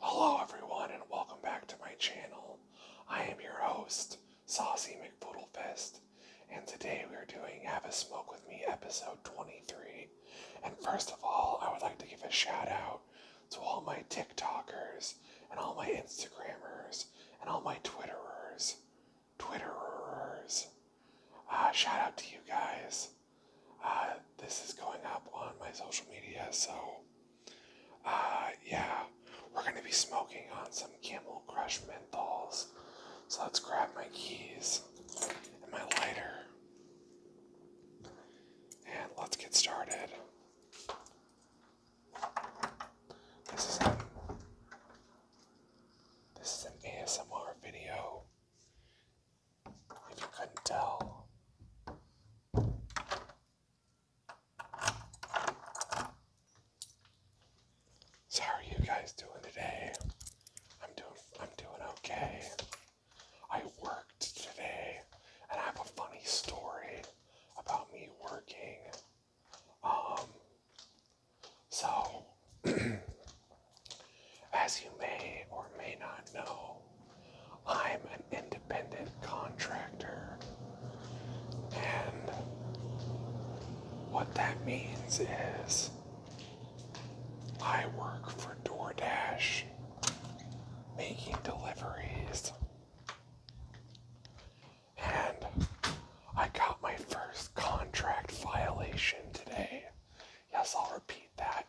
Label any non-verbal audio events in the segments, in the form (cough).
Hello everyone and welcome back to my channel. I am your host, Saucy McPoodlefist, and today we are doing Have a Smoke With Me episode 23. And first of all, I would like to give a shout out to all my TikTokers and all my Instagrammers and all my Twitterers. Twitterers. Uh, shout out to you guys. Uh, this is going up on my social media, so uh, yeah, we're gonna be smoking on some Camel Crush Menthol. So let's grab my keys and my lighter, and let's get started. This is an, this is an ASMR video. If you couldn't tell. So how are you guys doing today? I'm doing I'm doing okay. I worked today and I have a funny story about me working. Um so (clears throat) As you may or may not know, I'm an independent contractor. And what that means is I work for DoorDash making deliveries. And I got my first contract violation today. Yes, I'll repeat that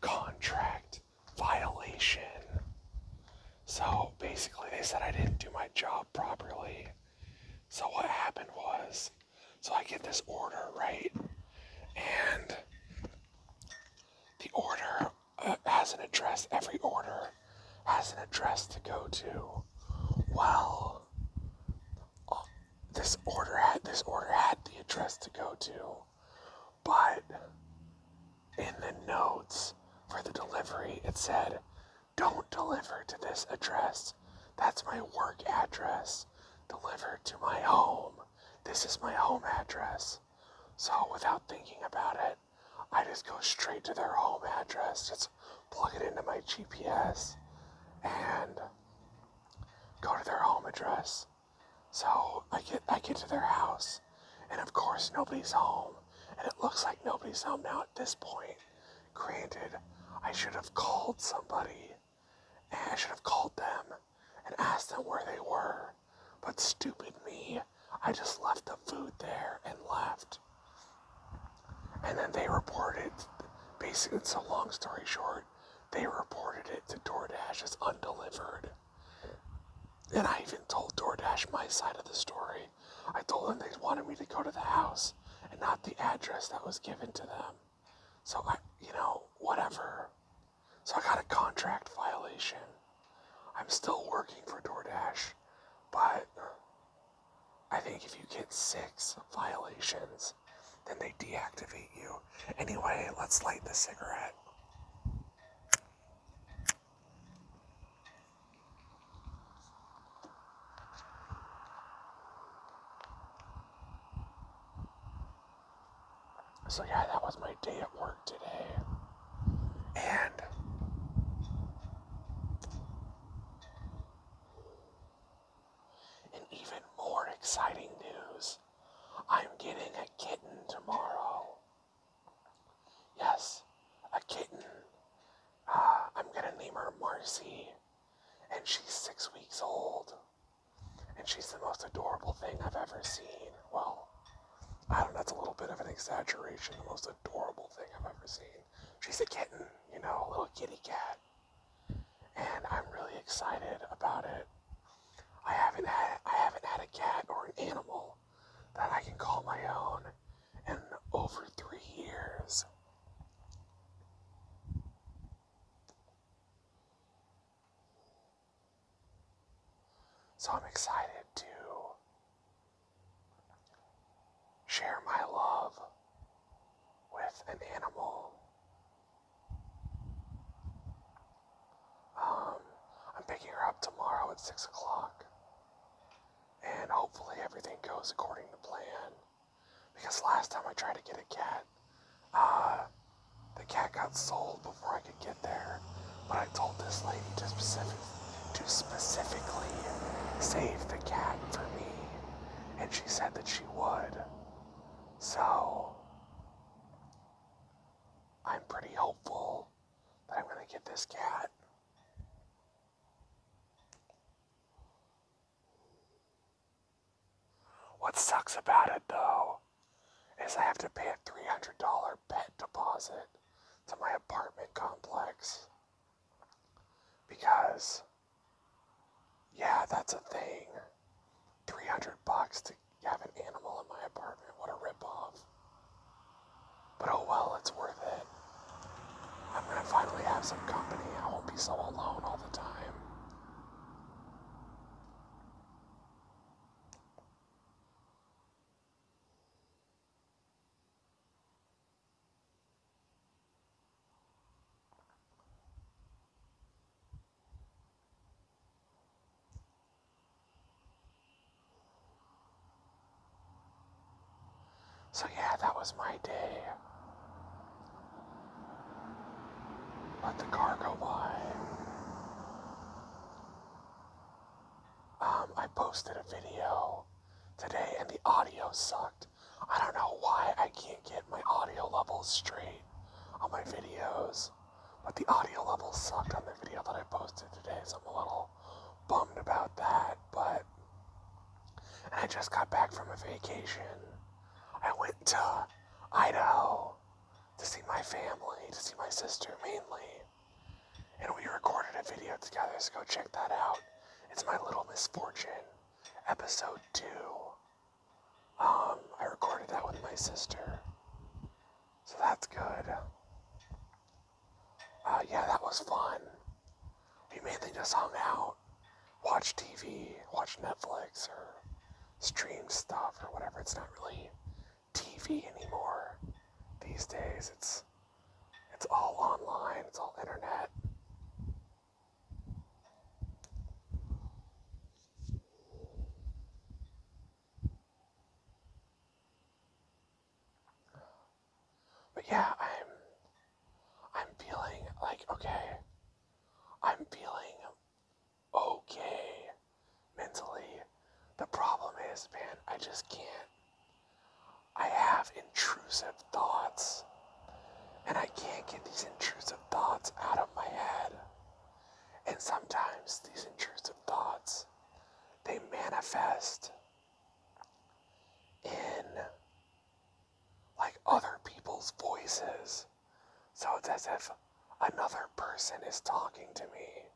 contract violation. So basically, they said I didn't do my job properly. So what happened was, so I get this order, right? And the order uh, has an address. Every order has an address to go to. Well, uh, this order had this order had the address to go to but in the notes for the delivery, it said, don't deliver to this address. That's my work address. Deliver to my home. This is my home address. So without thinking about it, I just go straight to their home address, just plug it into my GPS and go to their home address. So I get I get to their house, and of course nobody's home, and it looks like nobody's home now at this point. Granted, I should have called somebody, and I should have called them and asked them where they were. But stupid me, I just left the food there and left. And then they reported, basically, it's a long story short, they reported it to DoorDash as undelivered. And I even told DoorDash my side of the story. I told them they wanted me to go to the house and not the address that was given to them. So I, you know, whatever. So I got a contract violation. I'm still working for DoorDash, but I think if you get six violations, then they deactivate you Anyway, let's light the cigarette. So, yeah, that was my day at work today. And in even more exciting news, I'm getting a kitten tomorrow. Yes, a kitten. Uh, I'm gonna name her Marcy. And she's six weeks old. And she's the most adorable thing I've ever seen. Well, I don't know, that's a little bit of an exaggeration. The most adorable thing I've ever seen. She's a kitten, you know, a little kitty cat. And I'm really excited about it. I haven't had I haven't had a cat or an animal that I can call my own in over three years. So I'm excited to share my love with an animal um, I'm picking her up tomorrow at 6 o'clock. And hopefully everything goes according to plan. Because last time I tried to get a cat, uh, the cat got sold before I could get there. But I told this lady to, specific, to specifically save the cat for me. And she said that she would. So, I'm pretty hopeful that I'm going to get this cat. What sucks about it though is I have to pay a $300 pet deposit to my apartment complex. Because, yeah, that's a thing. 300 bucks to to have an animal in my apartment. What a ripoff. But oh well, it's worth it. I'm gonna finally have some company. I won't be so alone all the time. So, yeah, that was my day. Let the car go by. Um, I posted a video today and the audio sucked. I don't know why I can't get my audio levels straight on my videos. But the audio level sucked on the video that I posted today, so I'm a little bummed about that. But I just got back from a vacation. I went to Idaho to see my family, to see my sister mainly. And we recorded a video together, so go check that out. It's my little misfortune, episode two. Um, I recorded that with my sister. So that's good. Uh, yeah, that was fun. We mainly just hung out, watched TV, watched Netflix, or streamed stuff, or whatever. It's not really TV anymore these days. It's it's all online. It's all internet. But yeah, I'm I'm feeling like okay. I'm feeling okay mentally. The problem is, man, I just can't. I have intrusive thoughts. And I can't get these intrusive thoughts out of my head. And sometimes these intrusive thoughts, they manifest in like other people's voices. So it's as if another person is talking to me.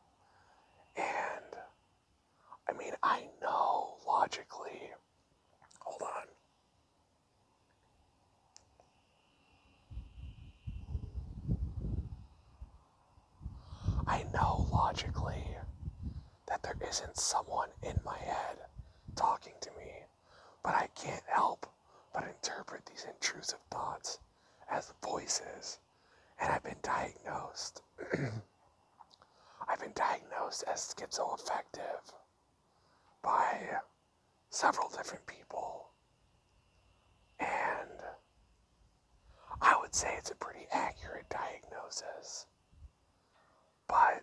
And I mean, I know logically. Hold on. I know logically that there isn't someone in my head talking to me, but I can't help but interpret these intrusive thoughts as voices. And I've been diagnosed. (clears throat) I've been diagnosed as schizoaffective by several different people. And I would say it's a pretty accurate diagnosis. But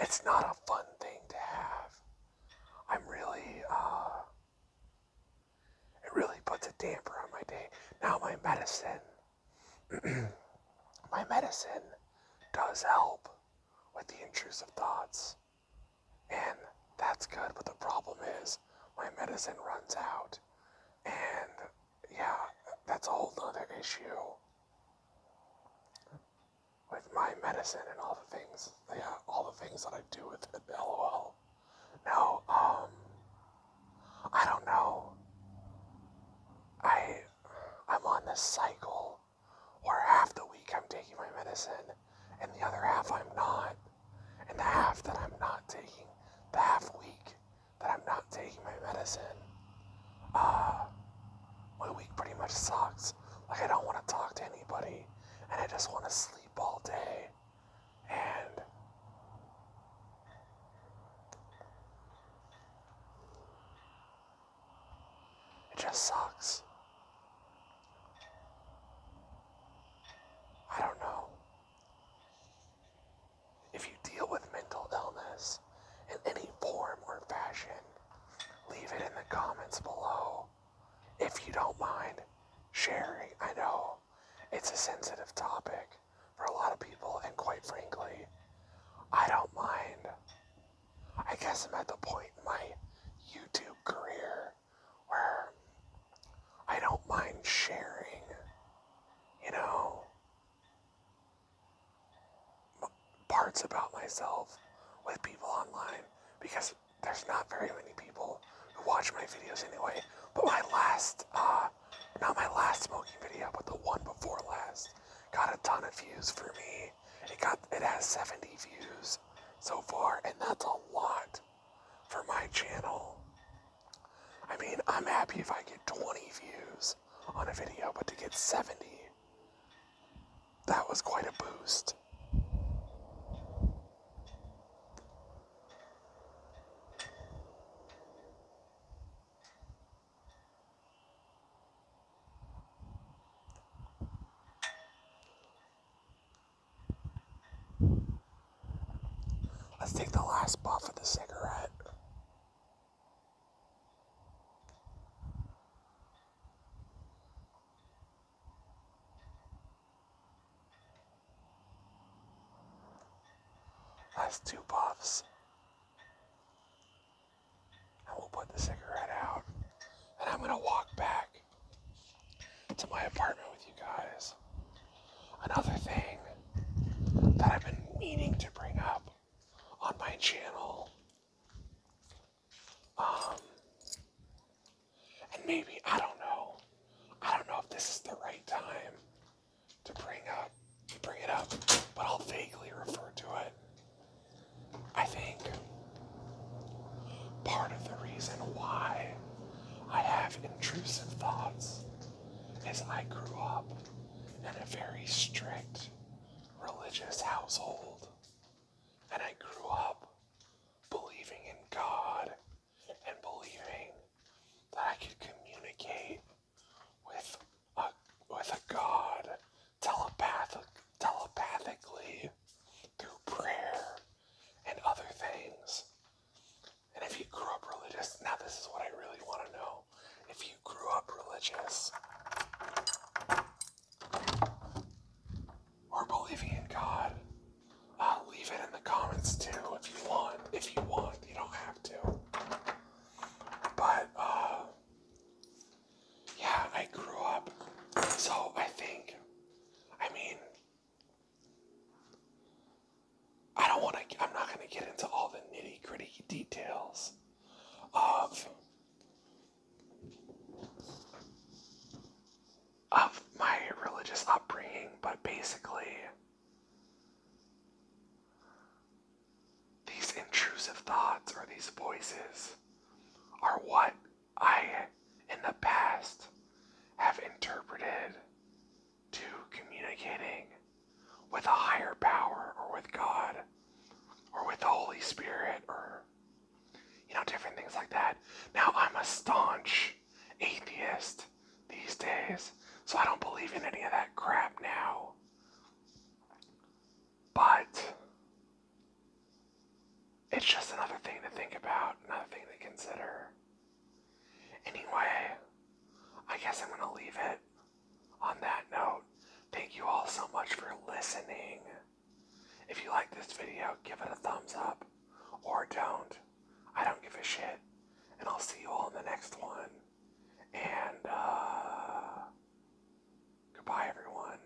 it's not a fun thing to have. I'm really, uh, it really puts a damper on my day. Now, my medicine, (clears throat) my medicine does help with the intrusive thoughts. And that's good, but the problem is my medicine runs out. And yeah, that's a whole nother issue with my medicine and all the things, yeah, all the things that I do with it, lol. No, um, I don't know. I, I'm on this cycle where half the week I'm taking my medicine and the other half I'm not. And the half that I'm not taking, the half week that I'm not taking my medicine, uh, my week pretty much sucks. Like I don't want to talk to anybody, and I just want to sleep all day. And it just sucks. I don't know. If you deal with mental illness in any form or fashion, leave it in the comments below. If you don't mind sharing, I know it's a sensitive topic for a lot of people, and quite frankly, I don't mind. I guess I'm at the point in my YouTube career where I don't mind sharing, you know, parts about myself with people online because there's not very many people who watch my videos anyway. But my last, uh, not my last smoking video, but the one before last, got a ton of views for me it got it has 70 views so far, and that's a lot for my channel. I mean, I'm happy if I get 20 views on a video, but to get 70, that was quite a boost. Let's take the last puff of the cigarette. That's two puffs. And we'll put the cigarette out. And I'm gonna walk back to my apartment with you guys. Another thing that I've been meaning to bring up on my channel. Um, and maybe, I don't know. I don't know if this is the right time to bring up, bring it up, but I'll vaguely refer to it I think part of the reason why I have intrusive thoughts is I grew up in a very strict religious household. And I grew up believing in God and believing that I could communicate with a, with a God telepathically through prayer and other things. And if you grew up religious, now this is what I really want to know. If you grew up religious or believing in God, uh, leave it in the comments too if you want. If you want, you don't have to. But uh, yeah, I grew up. So I think, I mean, I don't want to, I'm not going to get into all the nitty gritty details of, of my religious upbringing, but basically, these intrusive thoughts or these voices are what I, in the past, have interpreted to communicating with a higher power or with God or with the Holy Spirit or, you know, different things like that. Now, I'm a staunch atheist these days, so I don't believe in any of that crap now. But it's just another thing to think about, another thing to consider. Anyway, I guess I'm going to leave it on that note. Thank you all so much for listening. If you like this video, give it a thumbs up or don't. I don't give a shit. And I'll see you all in the next one. And, uh, goodbye, everyone.